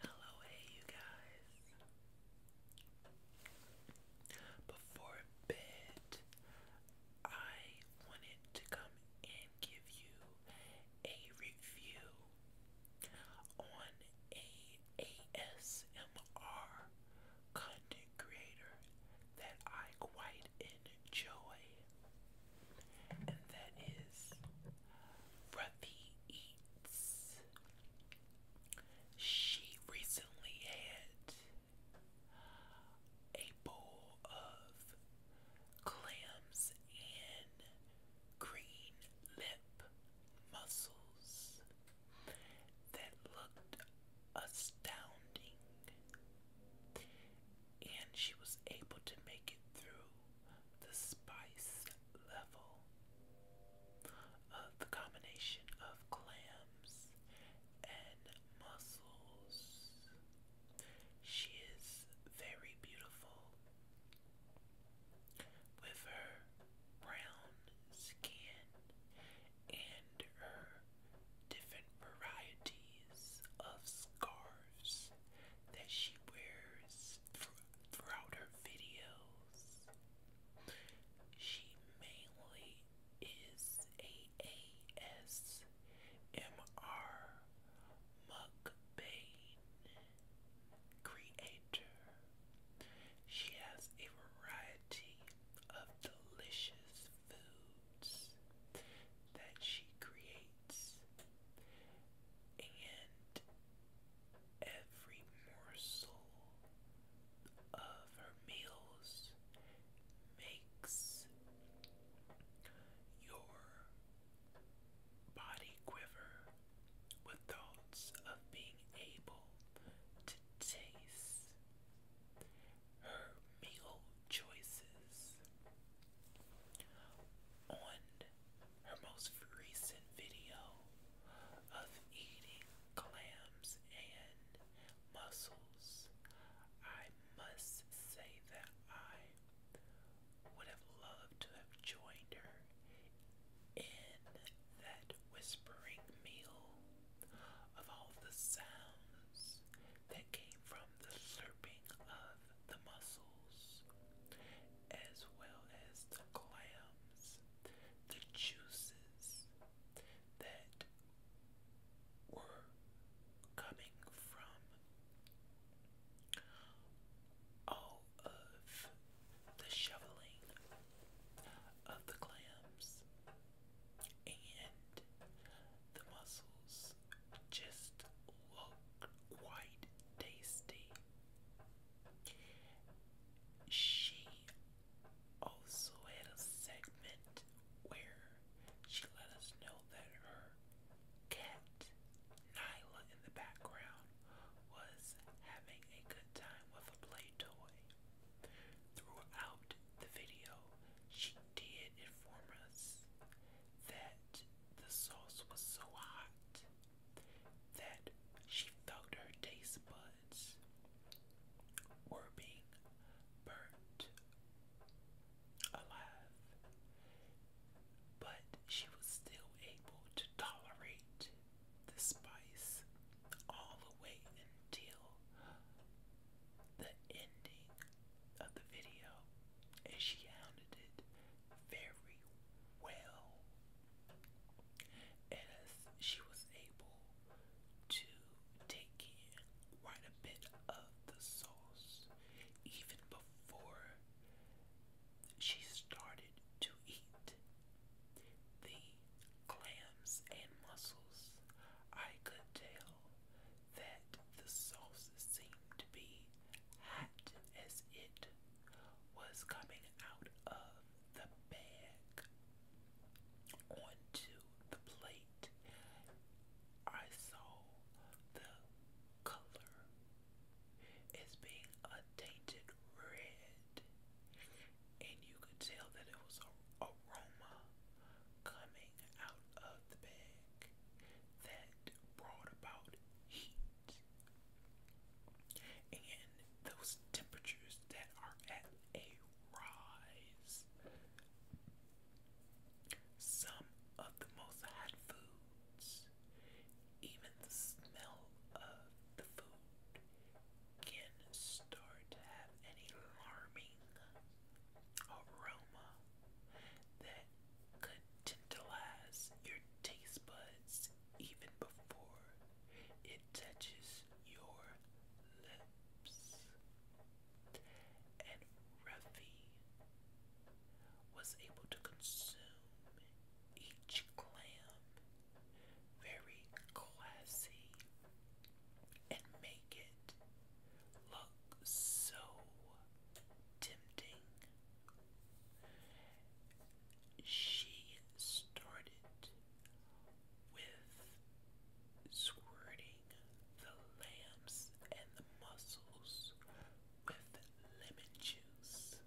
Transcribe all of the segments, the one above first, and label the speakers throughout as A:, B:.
A: Hello, hey you guys. Before bed, I wanted to come and give you a review on a ASMR content creator that I quite enjoy. And that is Ruthie Eats. She recently had a bowl of clams and green lip mussels that looked astounding, and she was able to make it through the spice level of the combination of clams and mussels. She is very beautiful with her brown skin and her different varieties of scarves that she wears throughout her videos. She mainly is a ASMR mukbang creator. She has a variety of delicious foods that she creates and every morsel of her meals makes your body quiver with thoughts of being able to taste her meal choices on her most recent video of eating clams and mussels. I must say that I would have loved to have joined her in that whispering meal of all the sounds that came from the slurping of the mussels, as well as the clams, the juices that were coming from all of the shoveling of the clams and the mussels just look quite tasty she also had a segment where she let us know that her cat, Nyla, in the background, was having a good time with a play toy. Throughout the video, she did inform us that the sauce was so hot that she felt her taste buds were being burnt alive, but she was still able to tolerate the spice all the way until the ending of the video, and she hounded it very well as she was able to take in quite a bit of the sauce even before she started to eat the clams and mussels. I could tell that the sauce seemed to be hot as it was coming out of the bag onto the plate. I saw the color as being a tainted red, and you could tell that it was an aroma coming out of the bag that brought about and those temperatures that are at a rise. Some of the most hot foods, even the smell of the food, can start to have an alarming aroma that could tantalize your taste buds even before it touches your lips. And Ruffy was able to consume each clam very classy and make it look so tempting she started with squirting the lambs and the mussels with lemon juice.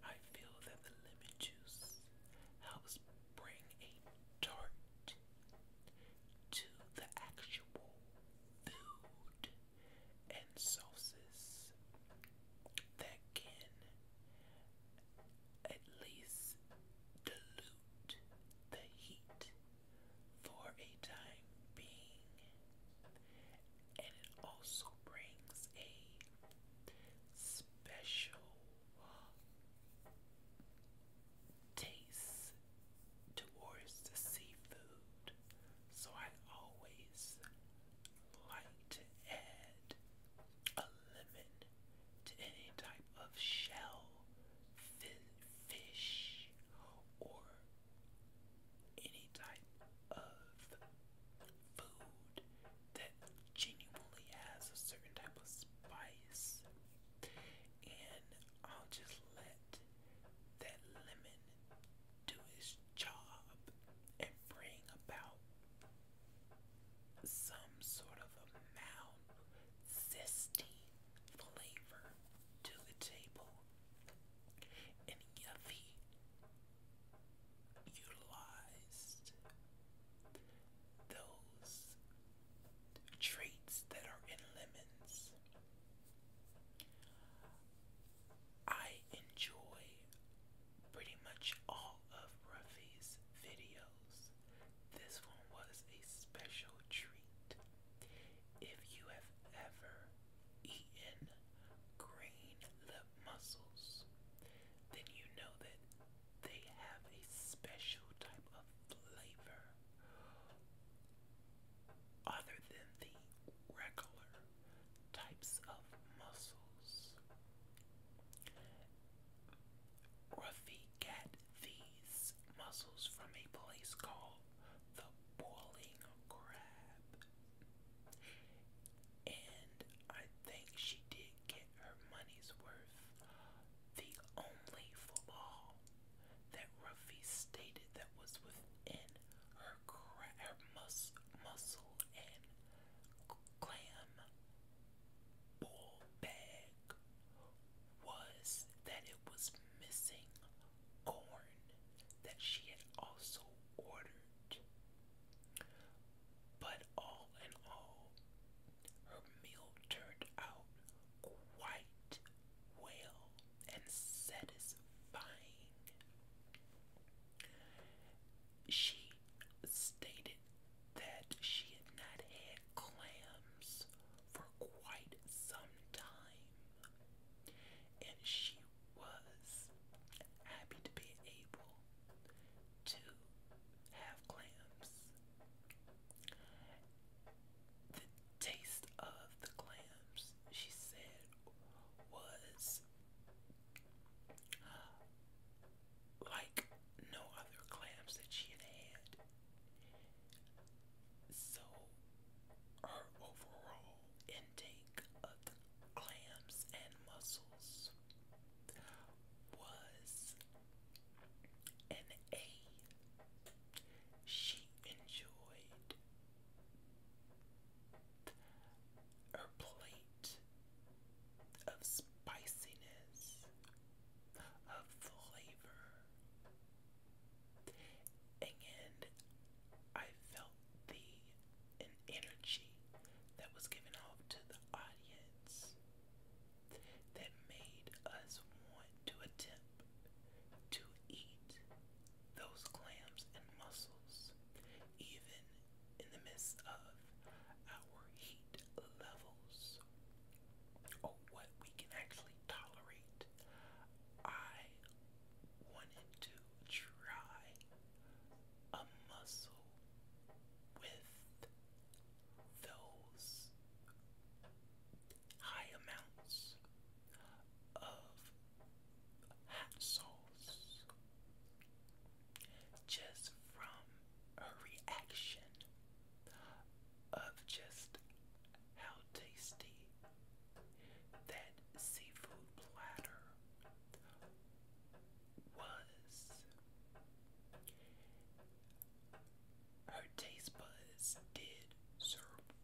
A: I feel that the lemon juice helps bring a tart to the actual food and sauces that can at least dilute the heat for a time being, and it also brings a special taste towards the seafood so I always like to add a lemon to any type of shell, fish, or any type of food that genuinely has a certain type of spice. And I'll just let that lemon do his job and bring about some sort of a mound zesty flavor to the table. And if utilized those traits that are in lemons, I enjoy pretty much all of Ruffy's videos. This one was a special treat. If you have ever eaten green lip mussels, then you know that they have a special type of flavor other than the regular types of muscles. Ruffy got these muscles from a place called the Boiling Crab. And I think she did get her money's worth. The only flaw that Ruffy stated that was within her, cra her Mussel, and Clam Bull Bag was that it was missing corn that she had also ordered. But all in all, her meal turned out quite well and satisfying. She stated that she had not had clams for quite some time, and she was happy to be able to have clams. The taste of the clams, she said, was like no other clams that she had had. So her overall intake of clams and mussels was an A. She enjoyed her plate of spiciness, of flavor, and I felt the energy that was given off to the audience that made us want to attempt to eat those clams and mussels even in the midst of our heat levels or what we can actually tolerate. I wanted to try a muscle with those high amounts of hot just from her reaction of just how tasty that seafood platter was. Her taste buds did survive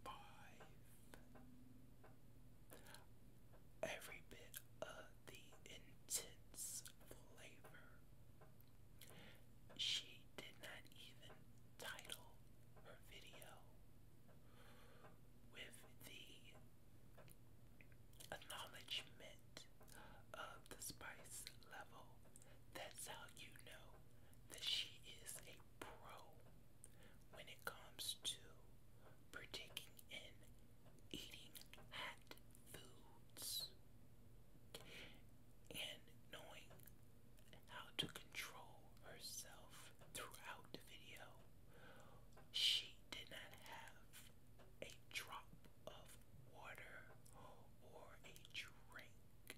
A: every bit of the intense flavor. She did not even title her video with the acknowledgement of the spice level. That's how you know that she is a pro when it comes to partaking in eating hot foods and knowing how to control herself throughout the video. She did not have a drop of water or a drink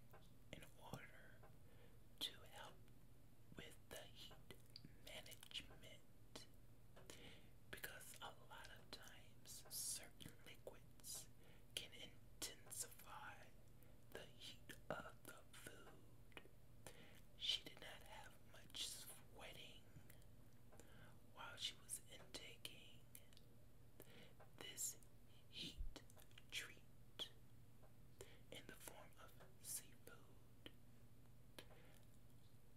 A: in order to help with the heat management because a lot of times certain liquids can intensify the heat of the food. She did not have much sweating while she was taking this heat treat in the form of seafood.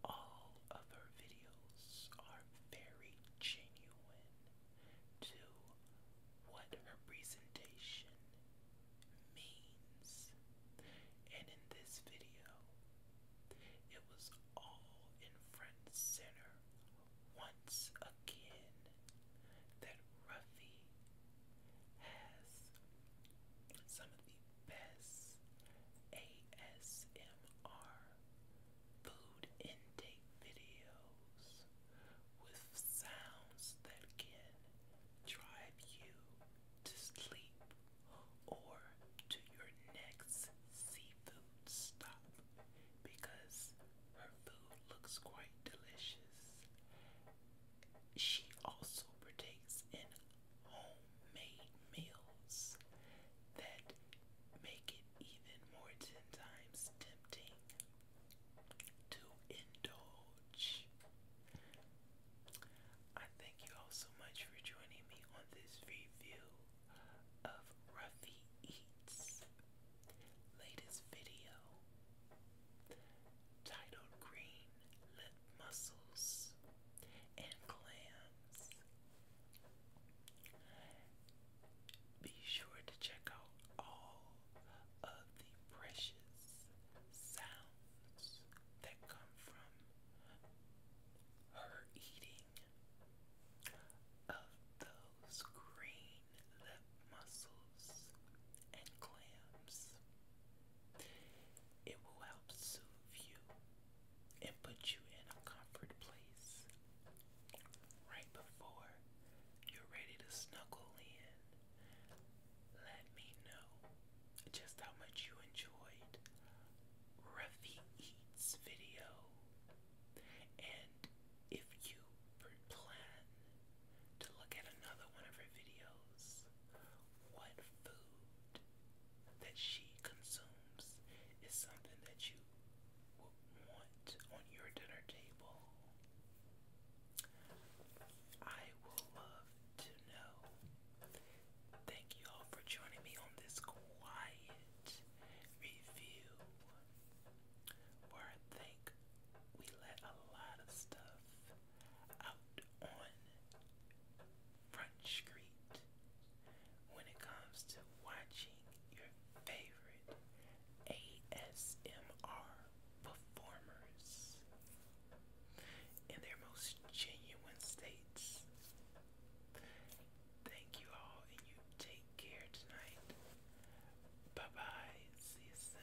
A: All of her videos are very genuine to what her presentation means. And in this video, it was all in front center once again that Ruffy has some of the best ASMR food intake videos with sounds that can drive you to sleep or to your next seafood stop because her food looks quite delicious. She also partakes in homemade meals that make it even more ten times tempting to indulge. I thank you all so much for joining me on this review of Ruffy Eats latest video titled Green Lip Mussels and Clams. Be sure to check out all of the precious sounds that come from her eating of those green lip mussels and clams. It will help soothe you and put you in a comfort place right before you're ready to snuggle in. Let me know just how much you enjoyed Ruffy Eats video and if you plan to look at another one of her videos, what food that she consumes is something that you would want on your dinner table? I will love to know. Thank you all for joining me on this quiet review where I think we let a lot of stuff out on Front Street when it comes to watching your favorite ASMR performers in their most genuine states. Thank you all, and you take care tonight. Bye bye. See you soon.